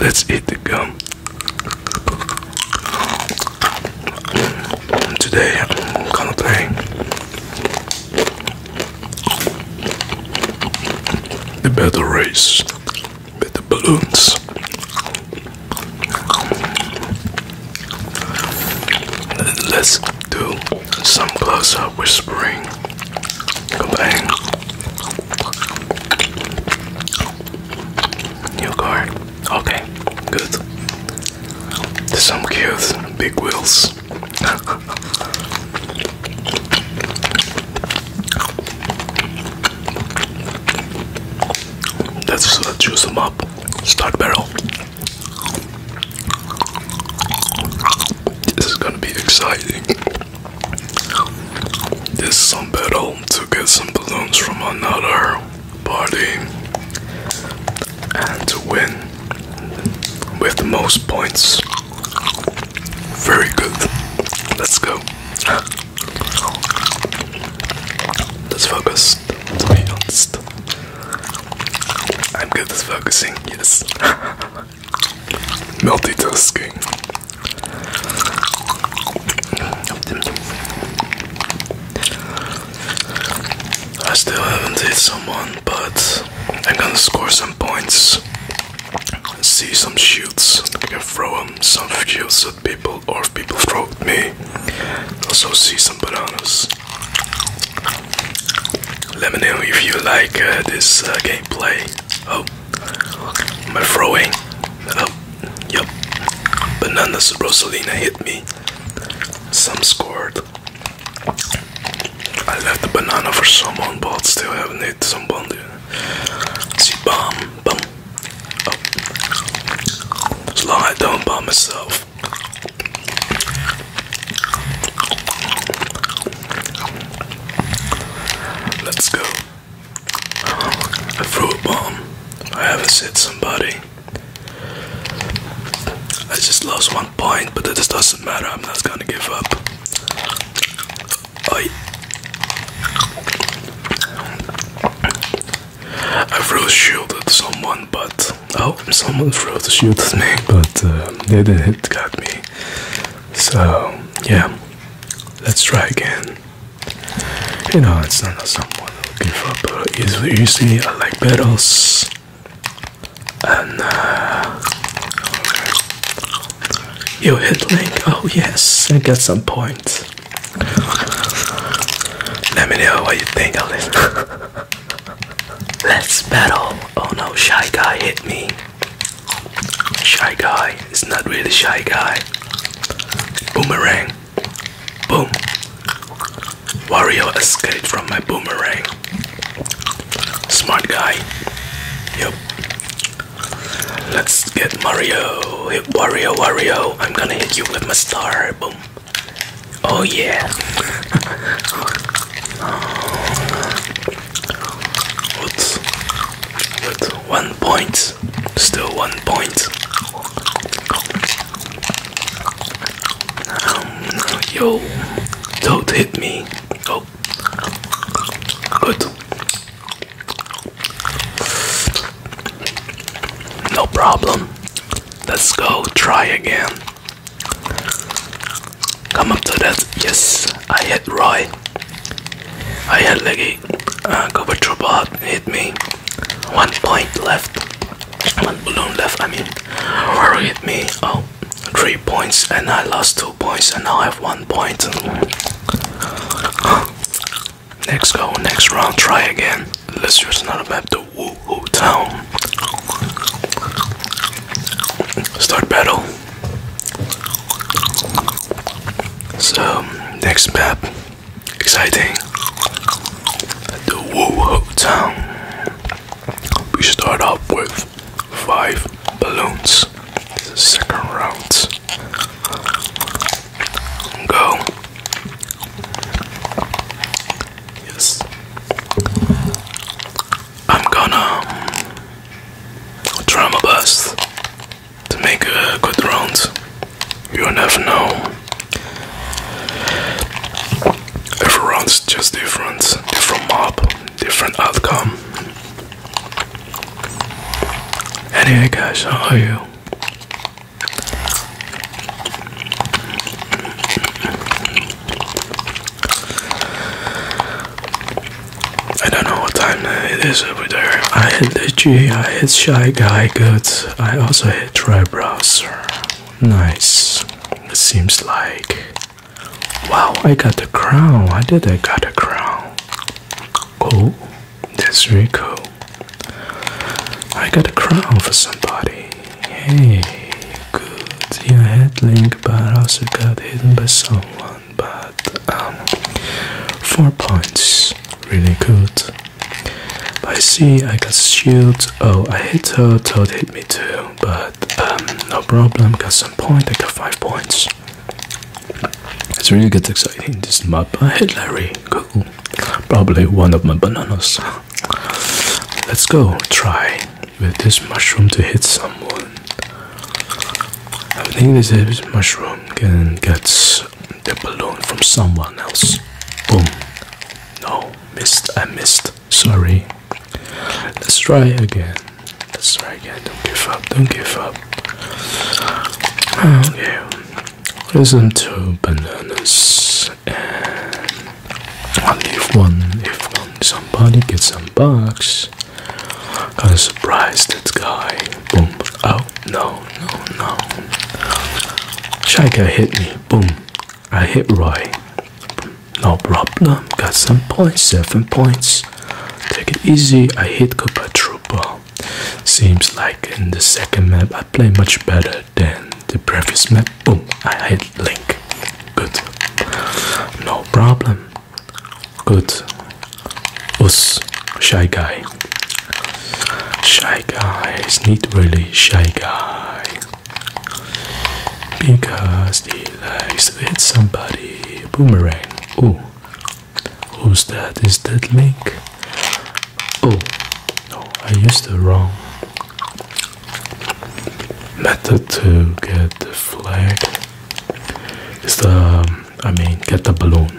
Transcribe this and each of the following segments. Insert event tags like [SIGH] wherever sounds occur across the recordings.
Let's eat the gum. Today I'm gonna play the battle race with the balloons. Let's do some close up whispering. Come on. New car. Okay, good. Some cute big wheels. That's [LAUGHS] us uh, choose them up. Start barrel. This is gonna be exciting. This some battle to get some balloons from another party and to win with the most points. Very good. Let's go. Let's focus. To I'm good at focusing. Yes. [LAUGHS] Multitasking. I still haven't hit someone, but I'm gonna score some points. See some shoots. I can throw them, some shoots at people, or people throw at me. Also, see some bananas. Let me know if you like uh, this uh, gameplay. Oh, my throwing up yep bananas rosalina hit me some scored i left the banana for someone but still haven't hit someone see bomb bomb oh. as long as i don't bomb myself Let's go. I threw A bomb. I haven't hit somebody. I just lost one point, but it just doesn't matter. I'm not gonna give up. I I threw a shield at someone, but oh, someone threw a shield at me, but uh, they didn't hit got me. So yeah, let's try again. You know, it's not a someone looking for, but easily, easily I like battles. And uh, you hit me. Oh yes, I get some points. Let me know what you think of this. [LAUGHS] Let's battle. Oh no, shy guy hit me. Shy guy. It's not really shy guy. Boomerang. Boom. Wario escaped from my boomerang. Smart guy. Yep. Let's get Mario. Hit Wario, Wario. I'm gonna hit you with my star. Boom. Oh yeah. [LAUGHS] What's with one point? Still one point. yo, don't hit me. Oh. good. No problem. Let's go try again. Come up to that. Yes, I hit right. I hit like a uh, cover trouble hit me. One point left. One balloon left. I mean, Roy hit me. Oh, three points, and I lost two points, and now I have one point. [GASPS] Next go, next round, try again. Let's use another map, the Woohoo Town. Start battle. So next map, exciting. The Wu Town. We start off with five balloons. second round. Go. Yes. I'm gonna um, try my best to make a good round. You'll never know. Every round's just different, different mob, different outcome. Anyway, guys, how are you? I don't know what time it is over there. I hit the G. I hit Shy Guy, good. I also hit Dry Browser. Nice. seems like. Wow, I got the crown. I did I got a crown. Cool. That's really cool. I got a crown for somebody. Hey, Good. Yeah, I had Link, but I also got hidden by someone. But um, four points, really good. I see I got shield. Oh, I hit Toad. Toad hit me too. But um, no problem. Got some point. I got five points. It's really gets exciting. This map. I hit Larry. Cool. Probably one of my bananas. Let's go. Try with this mushroom to hit someone. I think this is mushroom can get the balloon from someone else. Boom. No, missed. I missed. Sorry. Let's try again. Let's try again. Don't give up. Don't give up. Okay. Listen to bananas and i one if one somebody gets some bucks. kind of surprised that guy. Boom. Oh no, no, no. Shaika hit me. Boom. I hit Roy. No problem. Got some points, seven points. Take it easy. I hit Koopa Trooper. Seems like in the second map I play much better better than the previous map. Boom, I hit Link. Good. No problem. Good. Us, shy guy. Shy guy is not really shy guy. Because he likes to hit somebody. Boomerang. Oh. Who's that? Is that Link? Oh, no, I used the wrong method to get the flag is the I mean get the balloon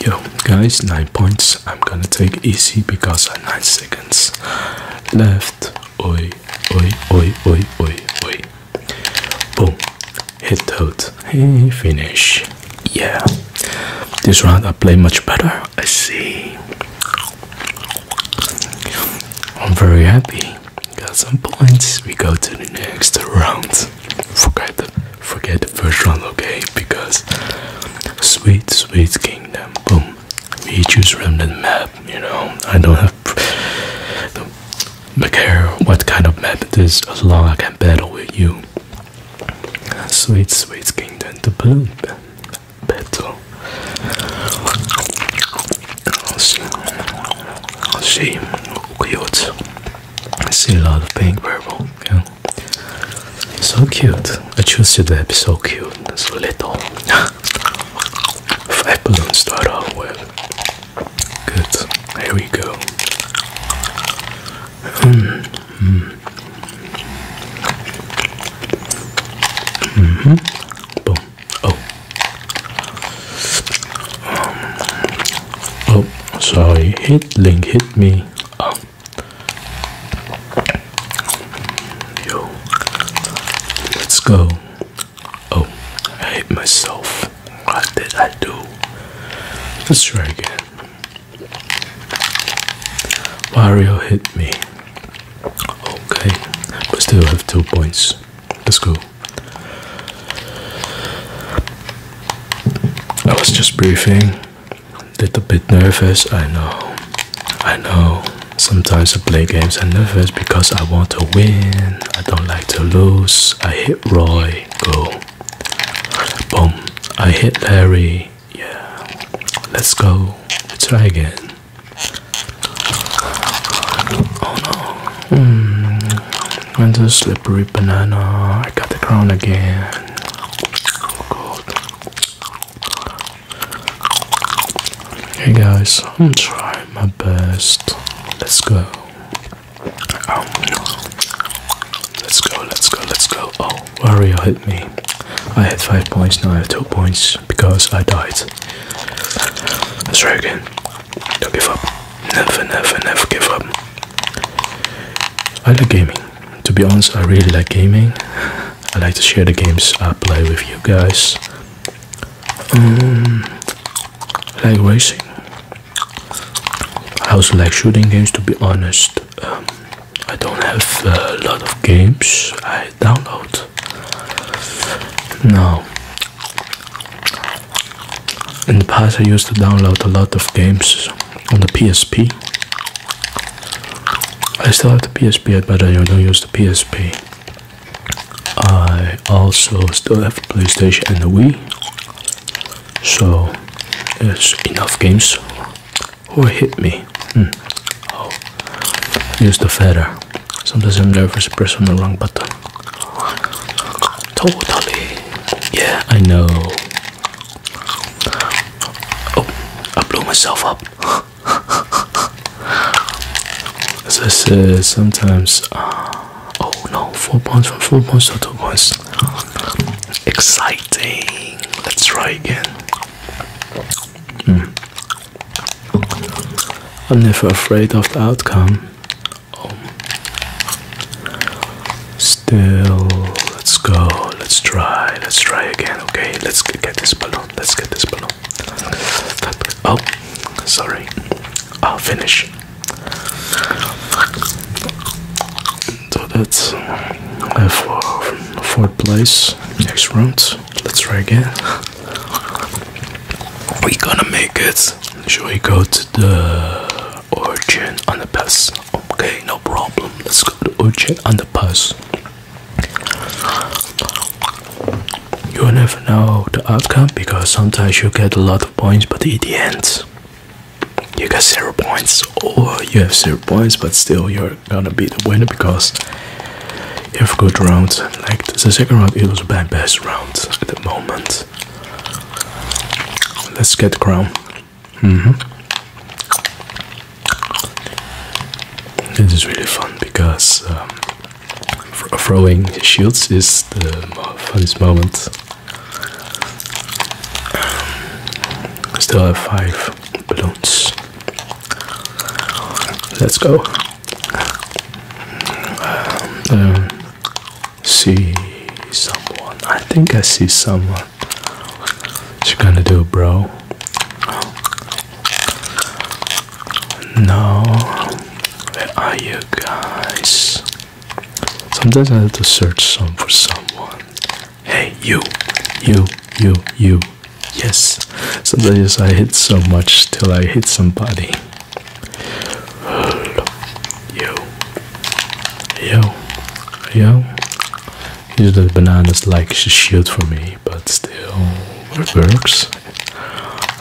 yo guys 9 points I'm gonna take easy because I 9 seconds left oi oi oi oi oi oi boom hit out He finish yeah this round I play much better I see. i C. I'm very happy. Got some points. We go to the next round. Forget the forget the first round, okay? Because sweet, sweet kingdom. Boom. We choose random map. You know, I don't have. do care what kind of map it is, as long as I can battle with you. Sweet, sweet kingdom. to bloom. I better. I see, cute. lot of pink purple. Yeah. So cute. I choose to be so cute. So little. [LAUGHS] Five balloons start off with. Good. Here we go. Hmm. Hmm. -hmm. Boom. Oh. oh, sorry. Hit link hit me. Yo. Let's go. Oh, I hate myself. What did I do? Let's try again. Mario hit me. Okay, but still have two points. Let's go. I was just briefing. Little bit nervous, I know. I know. Sometimes I play games I'm nervous because I want to win. I don't like to lose. I hit Roy. Go. Boom. I hit Larry. Yeah, let's go. Let's try again. Oh no. Mm. the slippery banana. I got the crown again. Oh Hey guys, I'm trying my best. Let's go. Um. Let's go, let's go, let's go. Oh, Wario hit me. I had 5 points, now I have 2 points because I died. Let's try again. Don't give up. Never, never, never give up. I like gaming. To be honest, I really like gaming. I like to share the games I play with you guys. Um, like racing. I also like shooting games to be honest. Um, I don't have a lot of games I download. now. In the past, I used to download a lot of games on the PSP. I still have the PSP, but I don't use the PSP. I also still have PlayStation and the Wii. So it's enough games. Who hit me? Hmm. Oh, use the feather. Sometimes I'm nervous, press on the wrong button. Totally. Yeah, I know. Oh, I blew myself up. [LAUGHS] As I said, sometimes. Uh, oh no, four points from four points to two points. Exciting. Let's try again. Mm. I'm never afraid of the outcome. Oh. Still, let's go. Let's try. Let's try again. Okay, let's get this balloon. Let's get this balloon. Oh, sorry. I'll finish. So that's uh, for fourth place. Next round. Let's try again. We gonna make it. Should we go to the origin on the pass? Okay, no problem. Let's go to the origin on the pass. You never know the outcome because sometimes you get a lot of points, but in the end, you got zero points or you have zero points but still you're gonna be the winner because you have good rounds like the second round it was my best round at the moment let's get the crown mm-hmm. this is really fun because um, throwing shields is the funniest moment I still have five balloons. Let's go. Um, see someone. I think I see someone. What you gonna do, bro? No. Where are you guys? Sometimes I have to search some for someone. Hey, you, you, you, you. Yes. Sometimes I hit so much till I hit somebody. you, yo, yo. Usually the bananas like she shield for me, but still it works.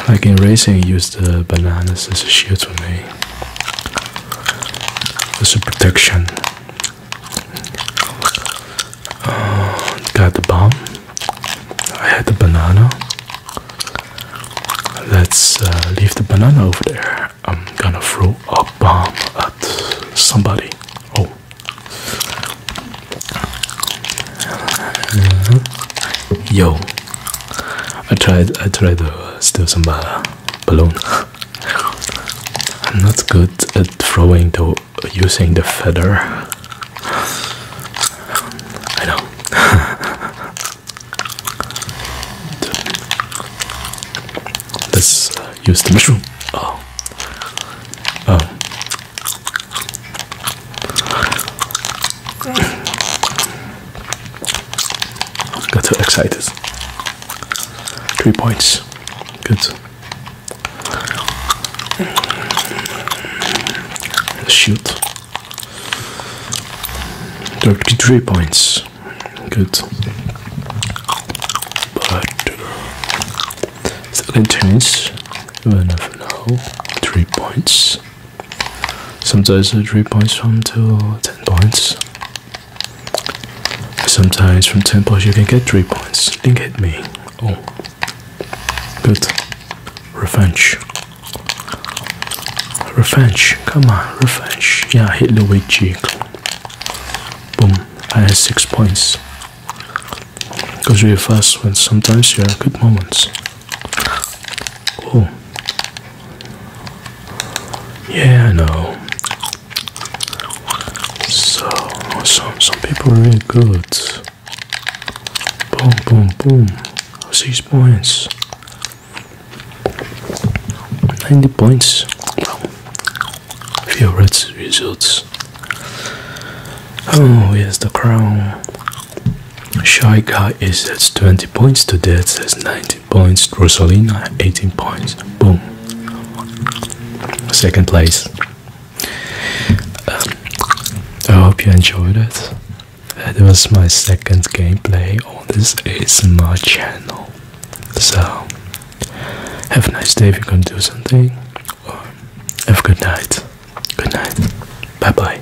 Like in racing, use the bananas as a shield for me a protection oh, got the bomb I had the banana let's uh, leave the banana over there I'm gonna throw a bomb at somebody oh yo I tried. I tried to steal some uh, balloon. I'm not good at throwing or using the feather. I know. [LAUGHS] Let's uh, use the mushroom. Oh. oh. Got so excited. Three points. Good. Shoot. Thirty-three points. Good. But uh, second chance. You never know. Three points. Sometimes uh, 3 points from to 10 points. Sometimes from 10 points you can get 3 points. Didn't hit me. Oh. Good. Revenge. Revenge. Come on, revenge. Yeah, hit Luigi. Boom. I had 6 points. Because we really fast when sometimes you have good moments. Oh. Yeah, I know. So, some some people are really good. Boom, boom, boom. Six points. Ninety points. Few red results. Oh, yes, the crown. Shy Guy is at 20 points, to death has 19 points, Rosalina 18 points. Boom. Second place. Um, I hope you enjoyed it. That was my second gameplay on this Is my channel. So, have a nice day if you're gonna do something. have a good night. Good night. Bye bye.